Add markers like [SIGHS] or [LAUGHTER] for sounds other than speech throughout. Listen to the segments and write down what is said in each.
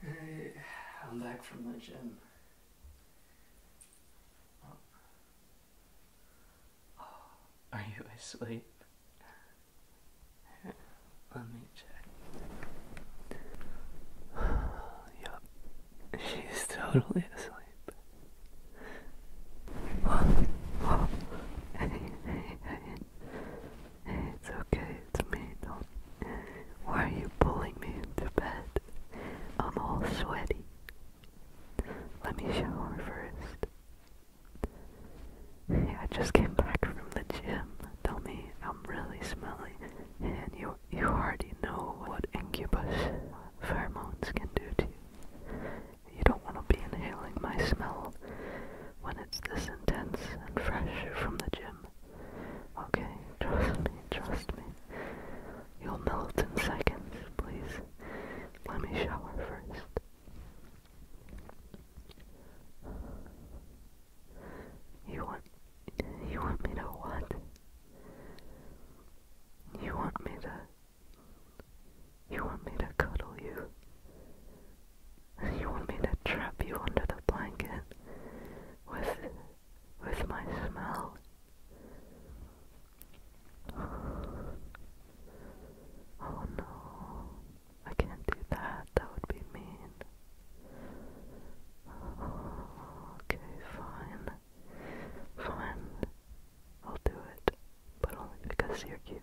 Hey, I'm back from the gym. Oh, are you asleep? Let me check. [SIGHS] yep, She's totally asleep. it's okay, it's me. Don't. Why are you pulling me into bed? I'm all sweaty. Let me shower first. I just came back from the gym. Tell me I'm really smelly, and you you already know what incubus pheromones can do to you. You don't want to be inhaling my smell when it's this intense and fresh from the gym. Okay, trust me, trust me. You'll melt in seconds, please. Let me shower first. You want you want me to what? You want me to. You want me to cuddle you? You want me to trap you under the blanket with. with my smell? Oh no, I can't do that. That would be mean. Okay, fine. Fine. I'll do it. But only because you're cute.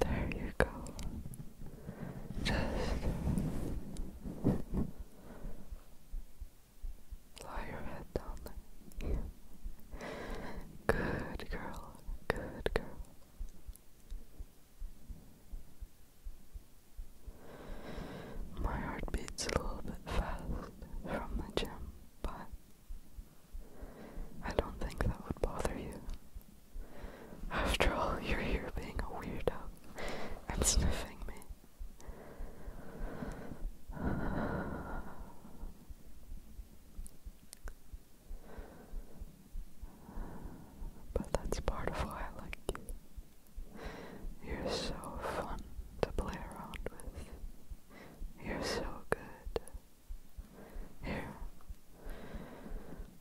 There you go. Just lie your head down there. Good girl. Good girl. My heart beats a little bit fast from the gym, but I don't think that would bother you. After all, you're here being a weirdo and sniffing me. But that's part of why I like you. You're so fun to play around with. You're so good. Here,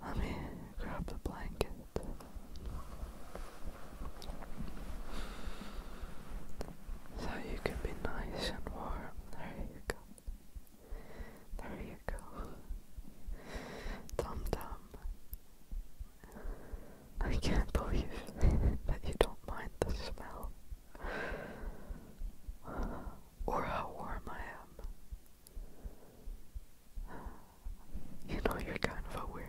let me grab the blanket. So you can be nice and warm. There you go. There you go. Dum dum. I can't believe that you don't mind the smell. Or how warm I am. You know you're kind of a weirdo.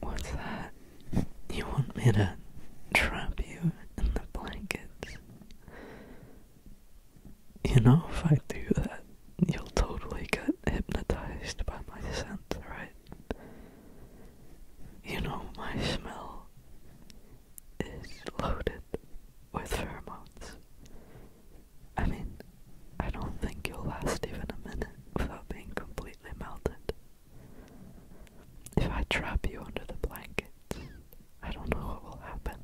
What's that? You want me to trap you in the blankets? You know, if I do that, you'll totally get hypnotized by my scent, right? You know, my smell is loaded with pheromones. I mean, I don't think you'll last even a minute without being completely melted. If I trap you under the blankets, I don't know what will happen.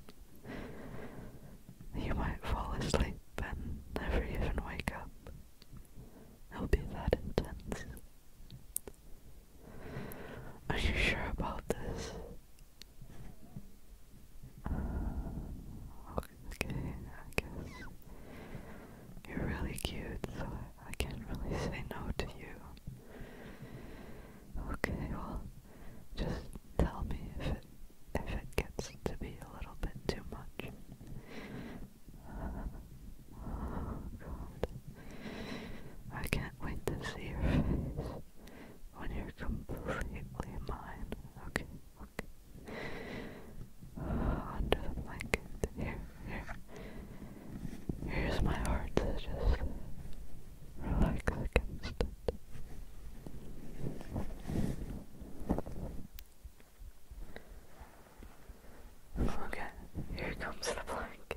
You might fall asleep and never even wake up. It'll be that intense. Are you sure about this? Okay, I guess you're really cute, so I, can't really say no to you. Okay, well, just tell me if it if it gets to be a little bit too much. oh God, I can't wait to see your face when you're completely mine. Okay under the blanket. Here, here. Here's my heart just relax against it. Okay, here comes the blanket.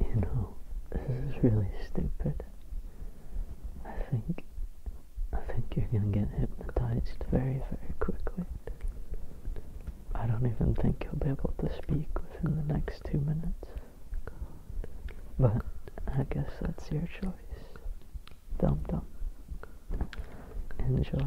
You know, this is really stupid. I think I think you're gonna get hypnotized very, very quickly. I don't even think you'll be able to speak within the next two minutes. But I guess that's your choice. Dum dum. Enjoy.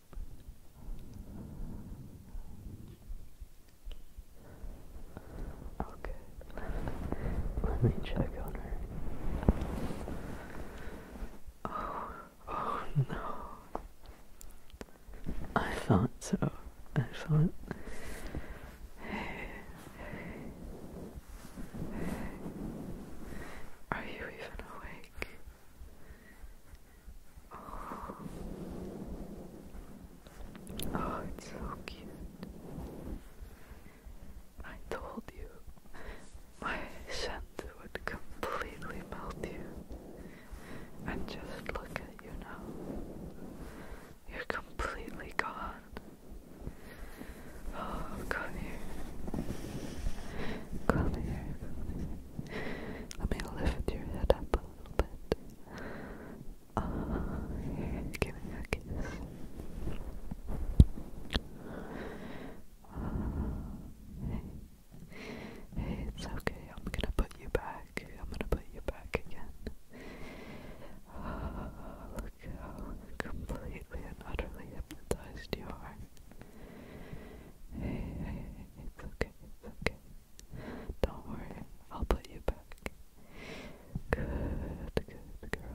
Okay, let me check on her. Oh, oh no. I thought so. I thought. Are you even awake? Oh, oh it's so cute. I told you my scent would completely melt you. And just look at you now. You're completely gone. Oh, come here. Come here. Come here. I'm gonna lift your head up a little bit. Ah, give me a kiss. Ah, hey. it's okay. I'm gonna put you back. I'm gonna put you back again. Ah, look how completely and utterly hypnotized you are. Hey, it's okay, it's okay. Don't worry, I'll put you back. Good, good girl,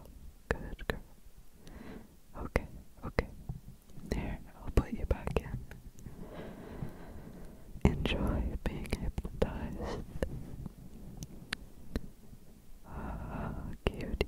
good girl. Okay, okay. There, I'll put you back in. Enjoy being hypnotized. Ah, cutie.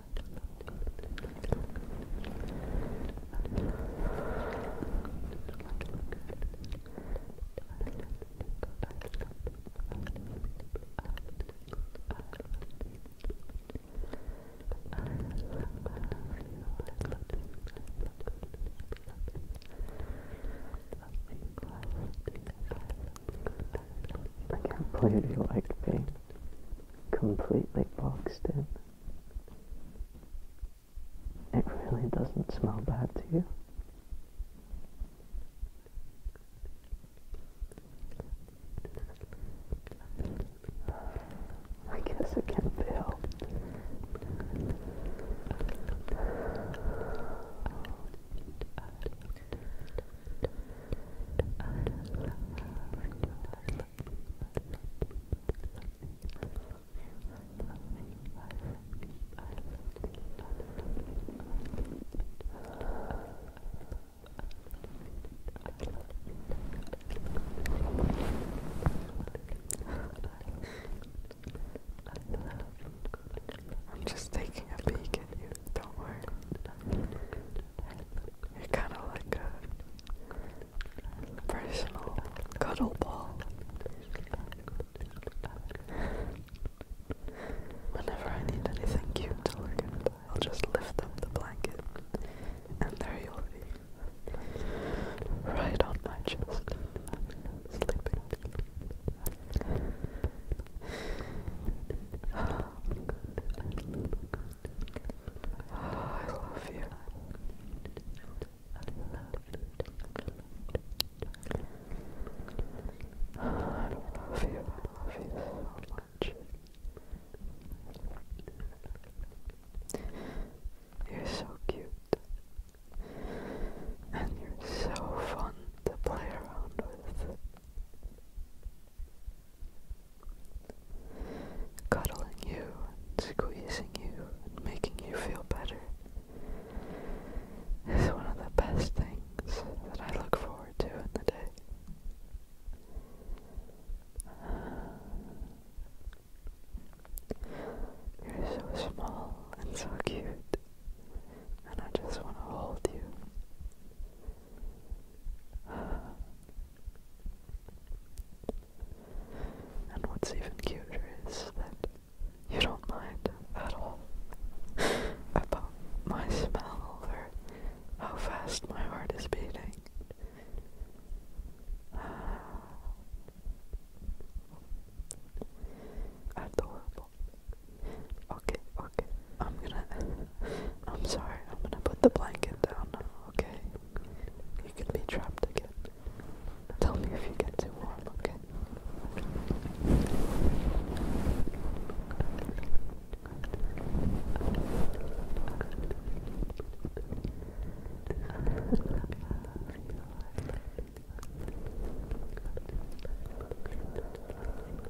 I can't believe you like me completely boxed in. It really doesn't smell bad to you. I guess it can be helped. I'm just taking a peek at you, don't worry kind of like a personal cuddle ball. Whenever I need anything cute to look at, I'll just lift up the blanket, and there you'll be, right on my chest, sleeping. Oh, I love you. I love you. I love you so much. You're so cute. And you're so fun to play around with cuddling you and squeezing you and making you feel better is one of the best things that I look forward to in the day. You're so small and so cute, and I just want to hold you. And what's even cuter is that you don't mind at all about my smell or how fast my heart is beating. Adorable. Okay, okay. I'm gonna. I'm sorry. I'm gonna put the blanket down now, okay? You can be trapped again. Tell me if you get too warm, okay? [LAUGHS]